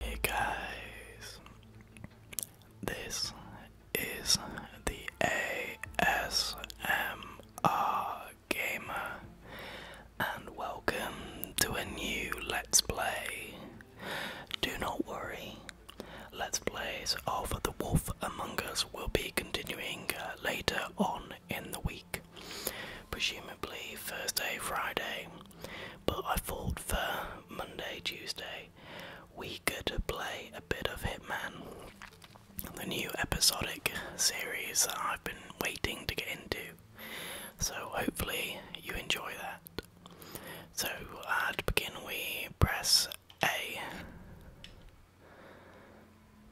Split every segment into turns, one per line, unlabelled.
Hey guys, this is the ASMR Gamer, and welcome to a new Let's Play. Do not worry, Let's Plays of The Wolf Among Us will be continuing uh, later on in the week, presumably Thursday, Friday. But I thought for Monday, Tuesday, we could play a bit of Hitman, the new episodic series I've been waiting to get into. So hopefully you enjoy that. So uh, to begin, we press a.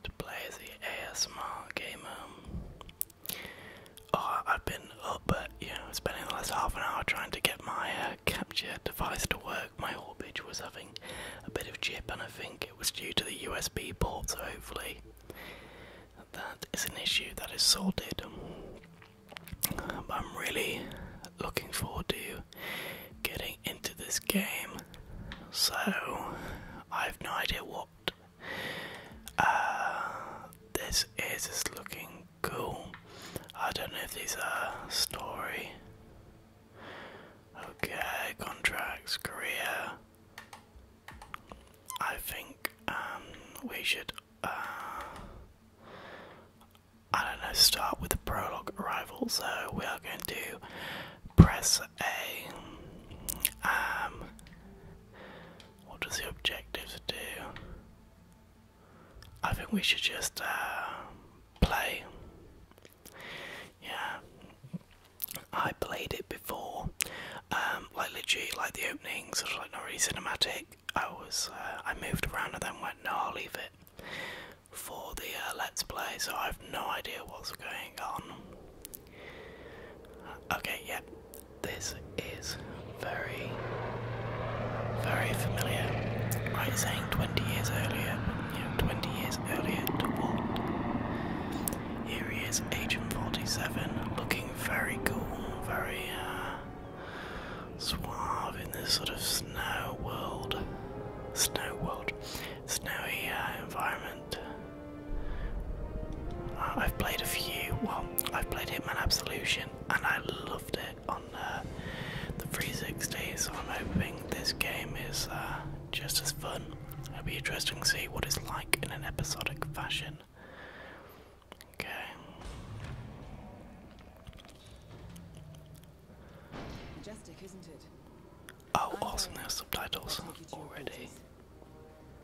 To play the ASMR gamer. Oh, I've been up, you know, spending the last half an hour trying to get my uh, capture device to work. My orbit was having a bit of chip, and I think it was due to the USB port. So hopefully, that is an issue that is sorted. Um, I'm really looking forward to getting into this game, so I have no idea what. Uh, this is looking cool. I don't know if these are story. Okay, contracts, career. I think um, we should. Uh, I don't know, start with the prologue arrival. So we are going to press A. Um, what does the objective do? I think we should just uh, play. Yeah, I played it before. Um, like literally, like the opening, sort of like not really cinematic. I was, uh, I moved around and then went, no, I'll leave it for the uh, Let's Play, so I have no idea what's going on. Okay, yeah, this is very, very familiar. I was saying 20 years earlier, but, 20 years earlier to what? Here he is, Agent 47, looking very cool, very, uh, suave in this sort of snow world, snow world, snowy uh, environment. I've played a few. Well, I've played Hitman Absolution, and I loved it on uh, the 360. So I'm hoping this game is uh, just as fun. It'll be interesting to see what it's like in an episodic fashion. Okay. Oh, awesome! There's
subtitles already.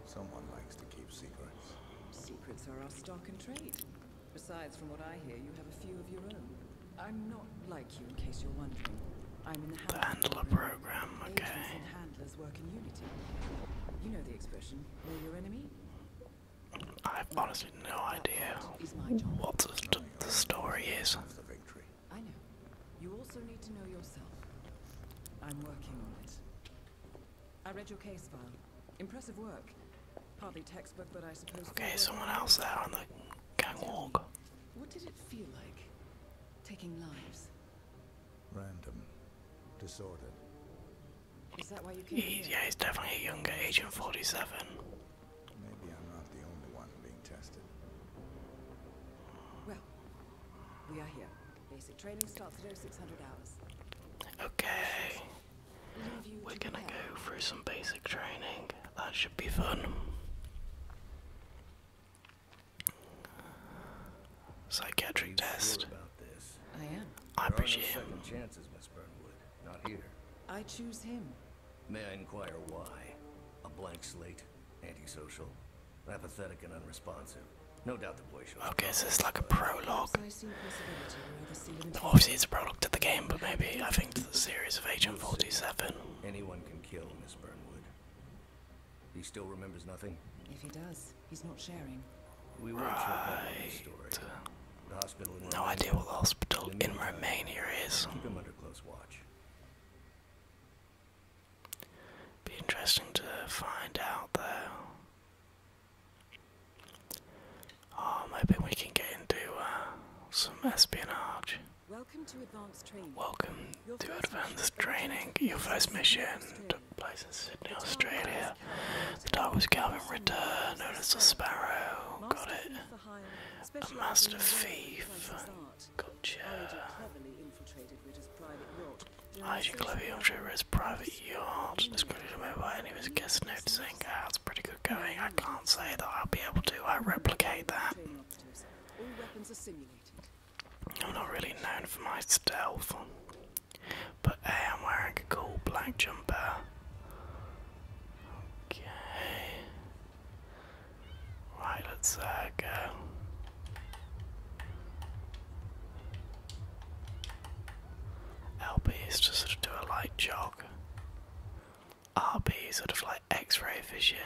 Someone likes to keep secrets.
Secrets are our stock and trade. Besides, from what I hear, you have a few of your own. I'm not like you, in case you're wondering. I'm in the, the handler program. Okay. You know the expression: "Know your enemy." I have
honestly no idea what the, st story is. I know.
You also need to know yourself. I'm working on it. I read your case file. Impressive work. Partly textbook, but I suppose. Okay, someone else there on the gang walk. What did it feel like? Taking lives.
Random. Disordered.
Is that why you came Yeah, he's definitely younger, agent forty seven.
Maybe I'm not the only one being tested.
Well, we are here. Basic training starts at 0600 hours. Okay.
We're gonna go through some basic training. That should be fun. Psychiatric test. I am. I you appreciate him. chances, not here.
I choose him.
May I inquire why? A blank slate, antisocial, apathetic and unresponsive. No doubt the boy should. Okay, so it's like a prologue.
Obviously, it's a prologue to the game, but maybe I think to the series of Agent 47.
Anyone can kill Miss Burnwood. He still remembers nothing.
If he does, he's not sharing.
We won't share that story no idea what the hospital in Romania is. Be interesting to find out though. Oh, maybe we can get into uh, some espionage. Welcome to advanced training. Welcome to advanced training. Your first mission took place in Sydney, Australia. The
dog was Calvin Ritter, known as the Sparrow. Got it a master thief. Gotcha. Elijah Clevy on River's private yacht. Discredited
away by any of his guests noticing. Ah, that's pretty good going. I can't say that I'll be able to uh, I replicate that. I'm not really known for my stealth. But hey, I'm wearing a cool black jumper. Okay. Right, let's uh, go. LB is to sort of do a light jog. RB sort of like X-ray vision.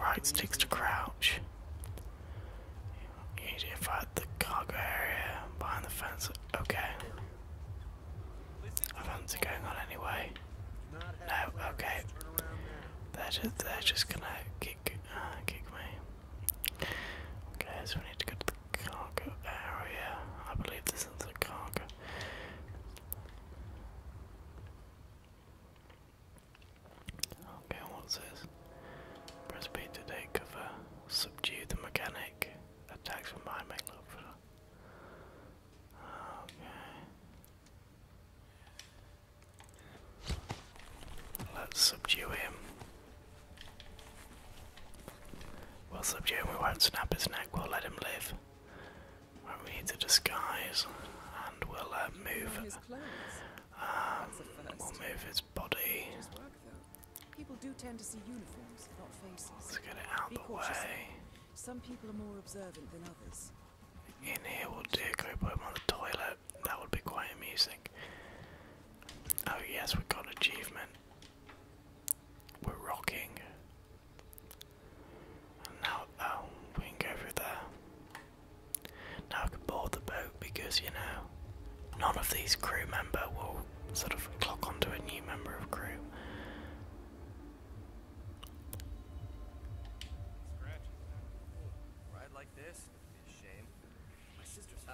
right, sticks to crouch. You need to fight the cargo area behind the fence. Okay. The fence are going on anyway. No, okay. They're just, they're just gonna kick, uh, kick me. Okay, so we need to go to the cargo area. I believe this is the cargo. Okay, what's this? Press B to take cover. Subdue the mechanic. Attacks from behind make look for. Okay. Let's subdue him. We'll subdue him, we won't snap his neck, we'll let him live. we need to disguise and we'll uh, move. Um, we'll move his um, body.
People do tend to see uniforms, not faces. Let's get it out Be the cautious. way. Some people are more observant than others.
In here we'll do go put him on the toilet. That would be quite amusing. Oh yes, we got achievement. We're rocking. now oh, we there. Now I can board the boat because, you know, none of these crew member will sort of clock onto a new member of crew.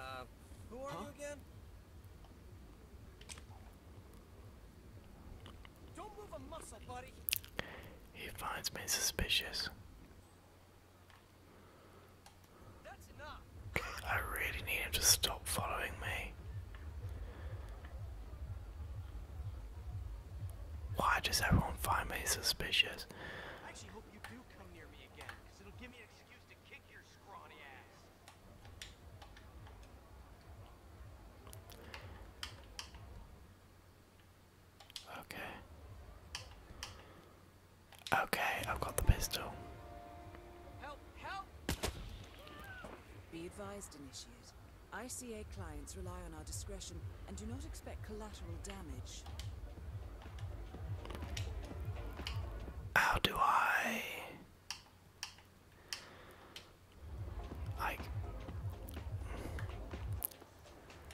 Uh, who are you again? Don't move a muscle, buddy. He finds me suspicious. I really need him to stop following me. Why does everyone find me suspicious? I actually hope you do come near me again, because it'll give me an excuse to kick your scrawny ass. Okay. Okay, I've
got the pistol. Be advised, Initiate. ICA clients rely on our discretion and do not expect collateral damage.
How do I like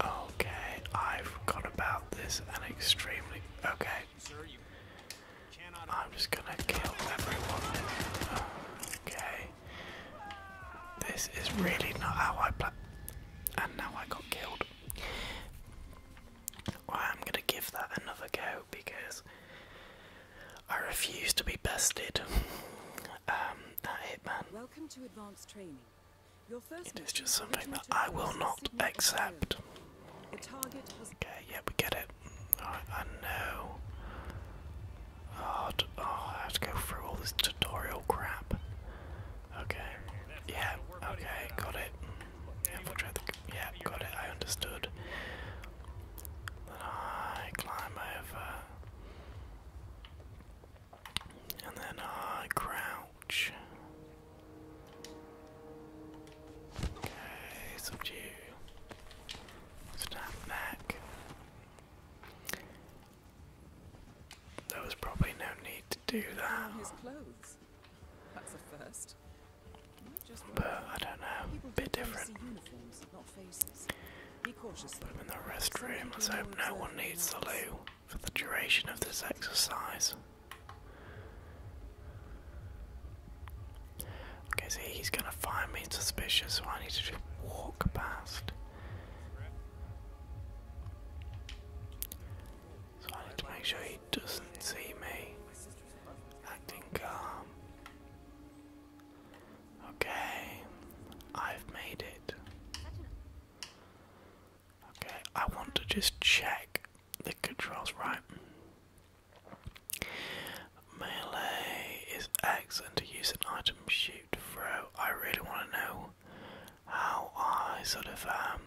Okay, I forgot about this. An extremely okay. I'm just gonna kill everyone. Okay, this is really not how I play. And now I got killed. I'm gonna give that another go because I refuse to be bested.
um, that Hitman. Welcome to advanced training. It is just something that I will not accept.
Okay, yeah, we get it. I know. Oh, oh, I have to go through all this tutorial crap. Okay. Yeah, okay, got it. Yeah, got it, I understood. Then I climb over. And then I uh, crouch. Okay, subdue. Snap back. There was probably no
need to do that. His clothes. That's the first. But I don't know, People bit different. Put him in the restroom. Let's hope no one needs the loo for the duration of this exercise.
Okay, see, he's gonna find me suspicious, so I need to just walk past. So I need to make sure he doesn't see me acting calm. Okay, I've made it. Okay, I want to just check the controls right. Melee is X and to use an item shoot throw. I really want to know how I sort of, um,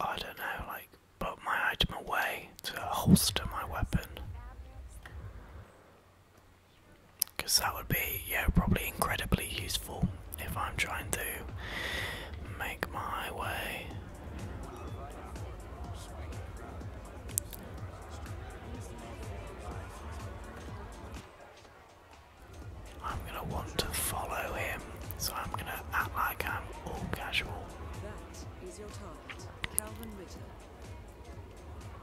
I don't know, like, put my item away to holster my weapon. Because that would be, yeah, probably incredibly useful if I'm trying to make my way. I'm gonna want to follow him, so I'm gonna act like I'm all casual.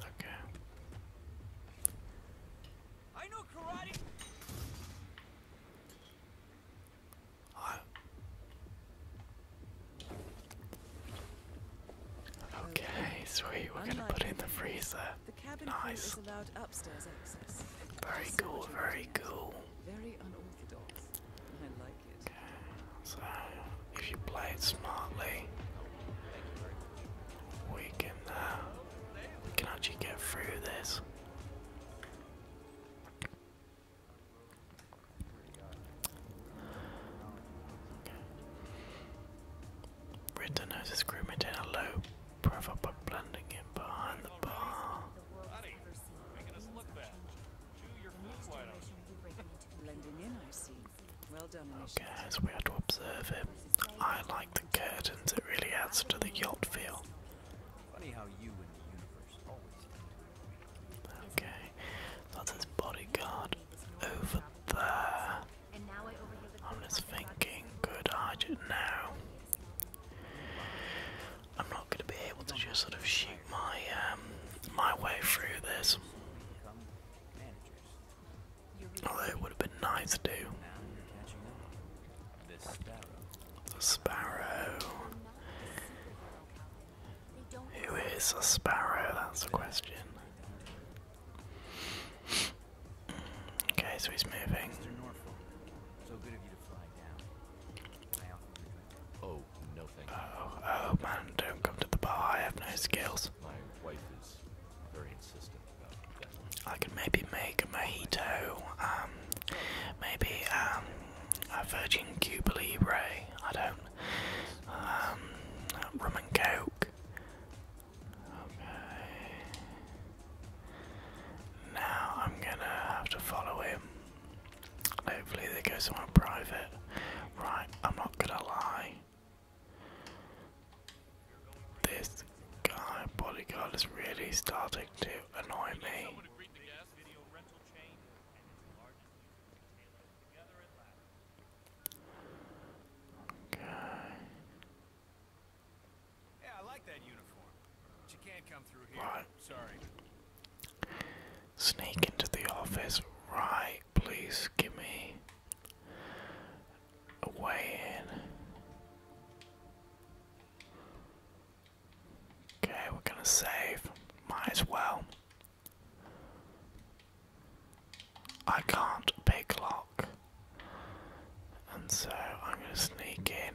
Okay. I know karate. Uh, okay, sweet. We're gonna put in the freezer.
nice. Very
cool. Very cool. Very unorthodox. So, if you play it smartly, we can uh, we can actually get through this. Okay. Ritter notices Grimmett in a low profile by blending him behind the bar. Okay, as we had to observe him. I like the curtains, it really adds to the yacht feel. Funny how you and the universe Okay, that's his bodyguard over there. I'm just thinking, good I now. I'm not going to be able to just sort of shoot my um, my way through this. Although it would have been nice to. The sparrow. Who is a sparrow? That's the question. Okay, so he's moving. Oh, Oh, oh, man, don't come to the bar, I have no skills. My wife is very insistent about that. I can maybe make a mojito, um, maybe, um, a virgin Cuba Libre, I don't, um, rum and coke. Okay. Now I'm gonna have to follow him. Hopefully they go somewhere private. Right, I'm not gonna lie. This guy bodyguard is really starting to annoy me. Okay. She can't come through here. Sorry. Sneak into the office. Right, please give me a way in. Okay, we're gonna save. Might as well. I can't pick lock. And so I'm gonna sneak in.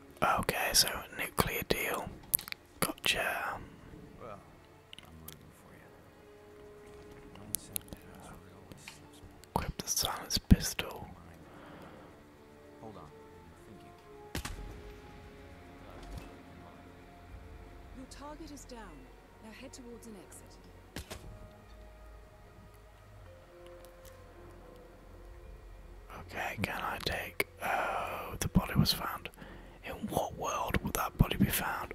Okay, so nuclear deal. Gotcha. Equip the silence pistol. Your
target is down. Now head towards an exit.
Okay, can I take. Oh, the body was found. In what world would that body be found?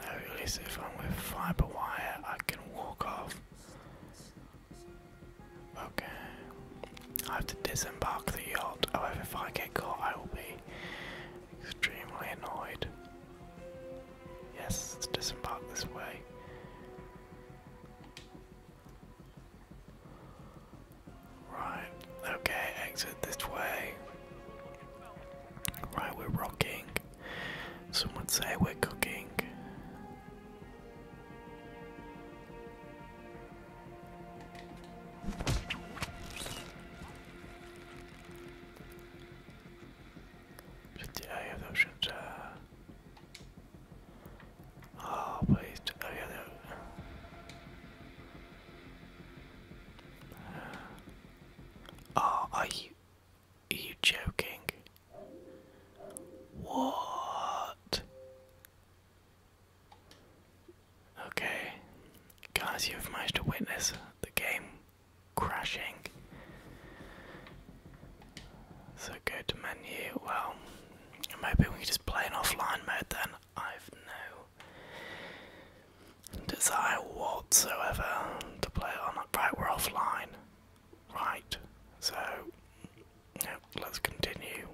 at least if I'm with fiber wire, I can walk off. Okay. I have to disembark the yacht. However, if I get caught, I will be extremely annoyed. Yes, disembark this way. Right, okay, exit this way. Right, we're rocking. Some would say we're cooking. Should I have the option uh. ah, Oh, please, I have the Oh, I... Are you joking? What? Okay. Guys, you've managed to witness the game crashing. So go to menu. Well, maybe we can just play in offline mode then. I've no desire whatsoever to play on. Right, we're offline. Right, so let's continue.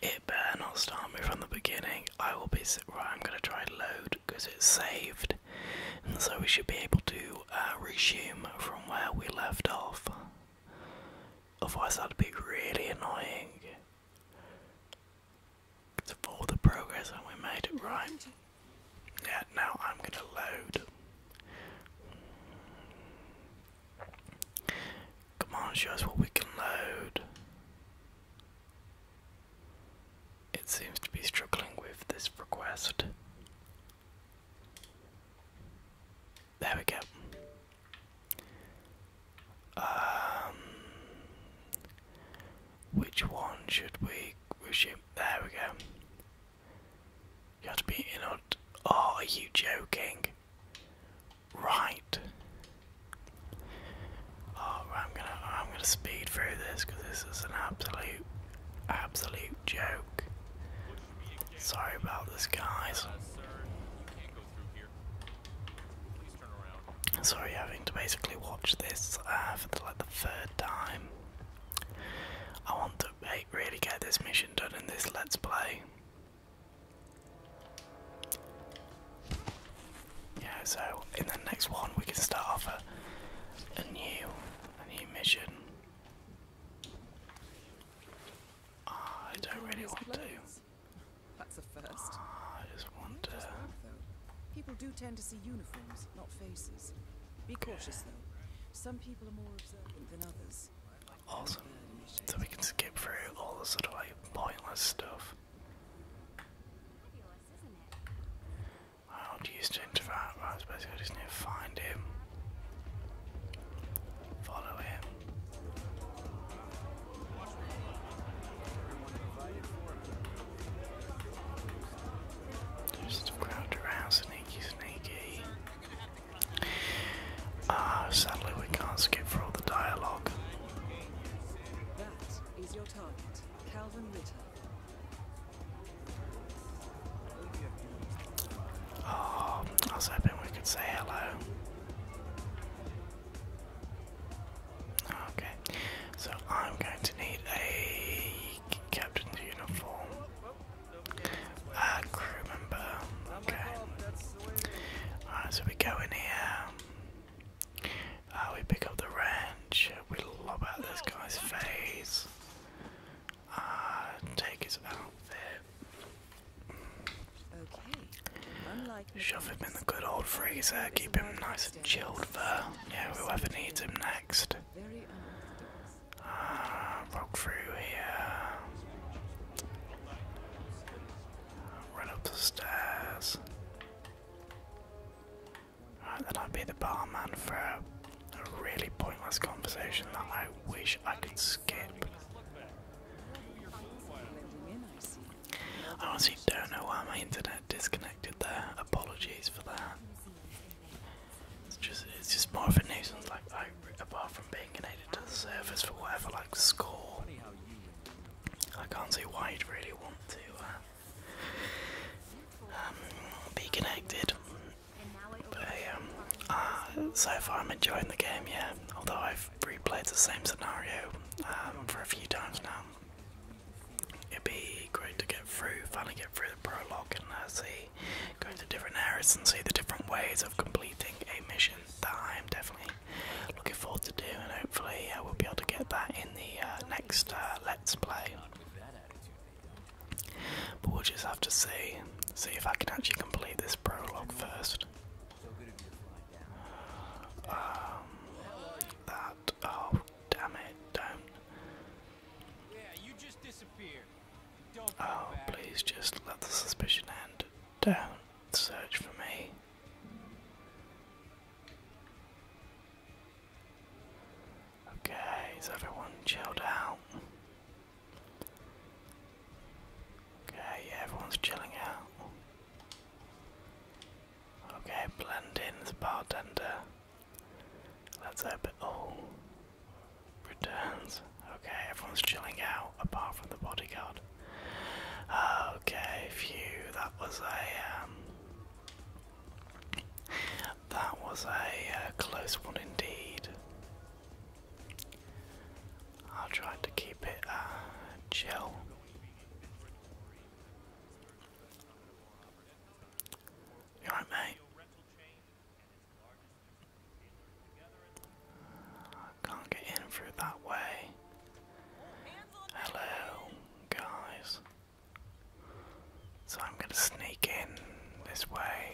It better not start me from the beginning. I will be right. I'm gonna try load because it's saved, and so we should be able to uh, resume from where we left off. Otherwise, that'd be really annoying. It's for the progress that we made. Right. Yeah, now I'm going to load. Come on, show us what we can load. It seems to be struggling with this request. There we go. Um, which one should we wish him? There we go. You have to be in oh, are you joking? Right. Oh, I'm gonna I'm gonna speed through this because this is an absolute absolute joke. Sorry about this, guys. Sorry, having to basically watch this uh, for like the third time. I want to really get this mission done in this let's play. Yeah, so in the next one we can start off a, new, a new mission. I
don't really want to that's a first. I
just want to. Just work, though.
People do tend to see uniforms, not faces. Be cautious though. Some people are more observant than others.
Awesome. So we can skip through all the sort of like pointless stuff. Fabulous, isn't to interact, I suppose I just need to find him. Follow him. There's around, sneaky, sneaky. Ah, sadly we can't skip for all the dialogue. Oh, I was hoping could say hello. Okay, so I'm going to need a captain's uniform, a crew member. Okay. Alright, so we go in here. Uh, we pick up the wrench. We lob out this guy's face. Uh, take his outfit. Shove him in the good old freezer, keep him nice and chilled for yeah, whoever needs him next. Uh, through here. Run up the stairs. Right, then I'll be the barman for a really pointless conversation that I wish I could skip. I honestly don't know why my internet disconnected there. Apologies for that. It's just it's just more of a nuisance. Like I, apart from being connected to the service for whatever like score, I can't see why you'd really want to uh, um, be connected. But um, uh, so far I'm enjoying the game. Yeah, although I've replayed the same scenario um, for a few times now. It'd be great to get through, finally get through the prologue and uh, see, go to different areas and see the different ways of completing a mission that I'm definitely looking forward to do. And hopefully, I uh, will be able to get that in the uh, next Let's Play. But we'll just have to see, see if I can actually complete this prologue first. Um, that. Oh, damn it! Don't. oh, please just let the suspicion end. Don't search for me. Okay, is everyone chilled out? Okay, yeah, everyone's chilling out. Okay, blend in the bartender. Let's hope it oh, all returns. Okay, everyone's chilling out apart from the bodyguard. Okay, phew, that was a um, that was a uh, close one indeed. I'll try to keep it uh, chill. You mate? can't get in through that way. Hello, guys. So I'm going to sneak in this way.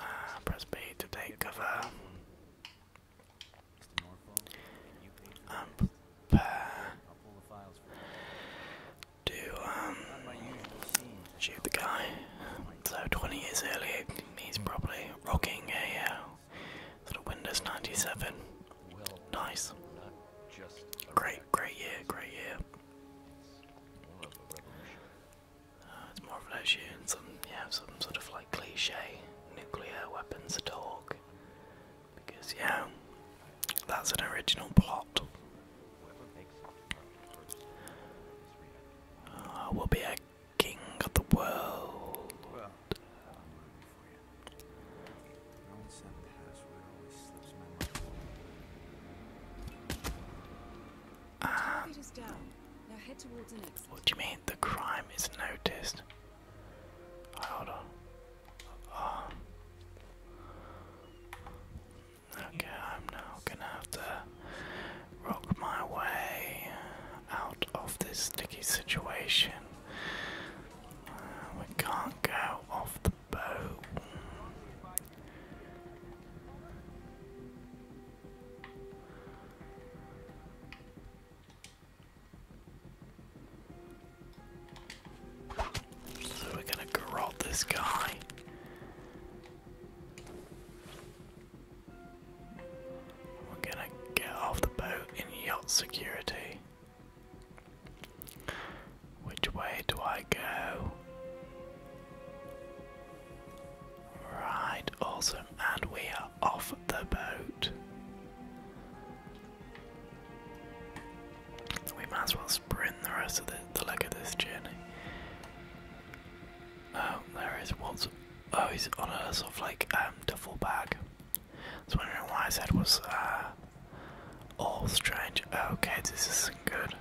Ah, press B to take cover. Um, prepare to um, shoot the guy. So 20 years earlier, he's probably rocking a uh, Windows 97. Nice. Great, great year, great year it's more of an issue and some, sort of like cliche nuclear weapons talk. Because, yeah, that's an original plot. I will be a king of the world
what do you mean? The crime
is noticed. hold on. Ah. Okay, I'm now gonna have to rock my way out of this sticky situation. Uh, we can't go off the boat. So we're gonna garrot this guy. We're gonna get off the boat in yacht security. Which way do I go? Right, awesome, and we are off the boat. We might as well sprint the rest of the, the leg of this journey. Oh, there is what's. Oh, he's on a sort of like um, duffel bag. I was wondering why I said was uh, all strange. Okay, this isn't good.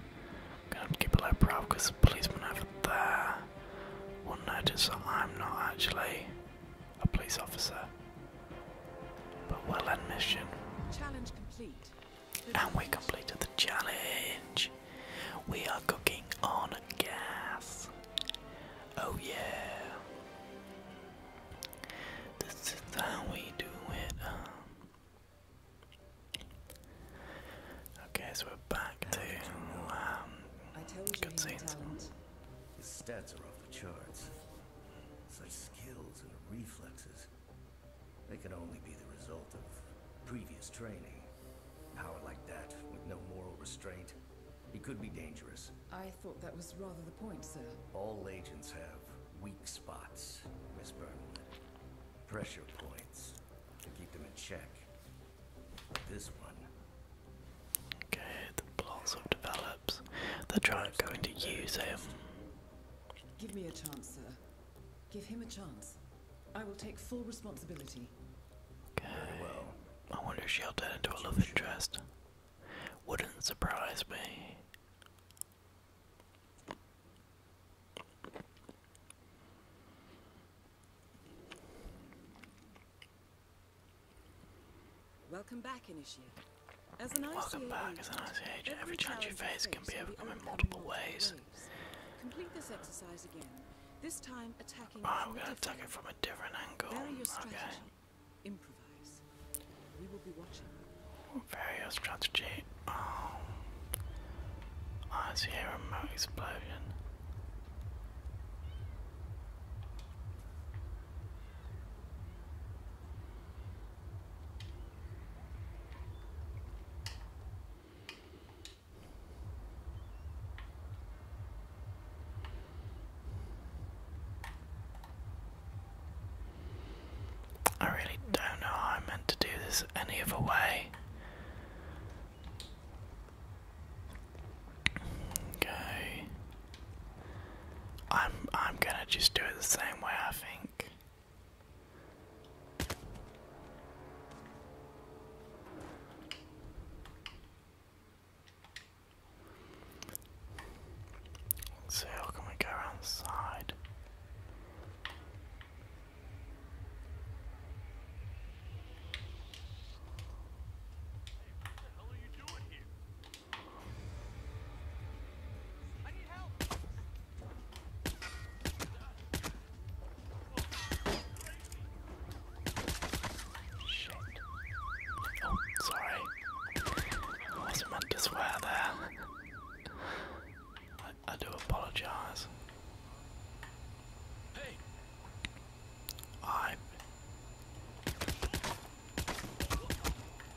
Gonna keep a low brow because over there will notice I'm not actually a police officer. But we'll end mission.
Challenge complete. And we completed
the challenge. We are cooking on a gas. Oh yeah. This is how we do it. Um, Okay, so we're back to um,
cutscenes. His
stats are off the charts. Such skills and reflexes. They can only be the result of previous training. Power like that, with no moral restraint, he could be dangerous.
I thought that was rather the point, sir.
All agents have weak spots, Miss Burnwood pressure points to keep them in check. This one. Okay, the blossom develops. The are going to use him.
Give me a chance, sir. Give him a chance. I will take full responsibility.
Okay. I wonder if she'll turn into a love interest. Wouldn't surprise me.
Welcome back, Initiate. As an ice age, Every, challenge you face can be overcome in multiple ways. Waves. Complete this exercise again. This time attacking oh, we're to attack it from a different angle. Okay.
Various strategy. Oh, um, I a remote explosion. I really don't know how I'm meant to do this any other way. Okay. I'm I'm gonna just do it the same way I think. see how can we go around the side. Oh, sorry. I wasn't meant to swear there. I I, do apologize. Hey. I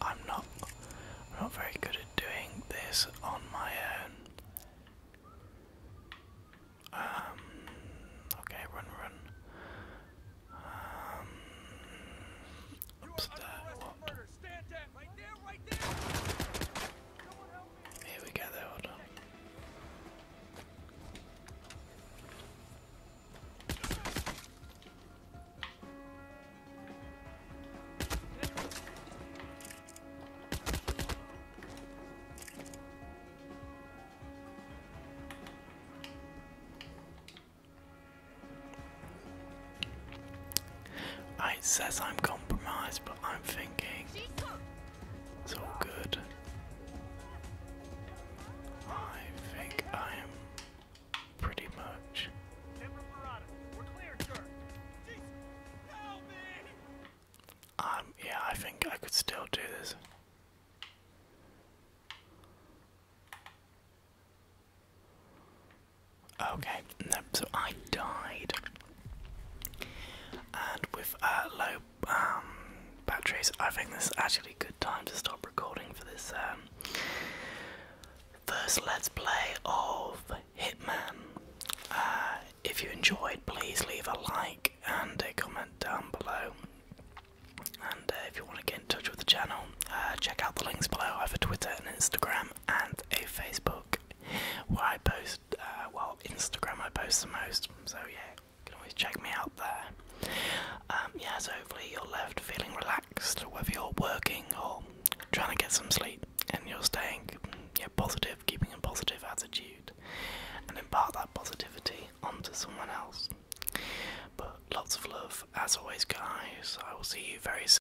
I'm not not very good at doing this on my own. Um okay, run run. Um upstairs. Right there, right there. Here we go, there, hold on. It says I'm compromised, but I'm thinking it's all good. I think I am pretty much. Um, yeah, I think I could still do this. Okay, um, so I died, and with uh, low um, batteries, I think this is actually a good time to stop recording for this um, first let's play of Hitman. Uh, if you enjoyed, please leave a like and a comment down below. And uh, if you want to get in touch with the channel, uh, check out the links below. I have a Twitter, and Instagram, and a Facebook. Where I post, uh, well, Instagram I post the most, so yeah, you can always check me out there. Um, yeah, so hopefully you're left feeling relaxed, whether you're working or trying to get some sleep, and you're staying yeah, positive, keeping a positive attitude, and impart that positivity onto someone else. But lots of love, as always, guys. I will see you very soon.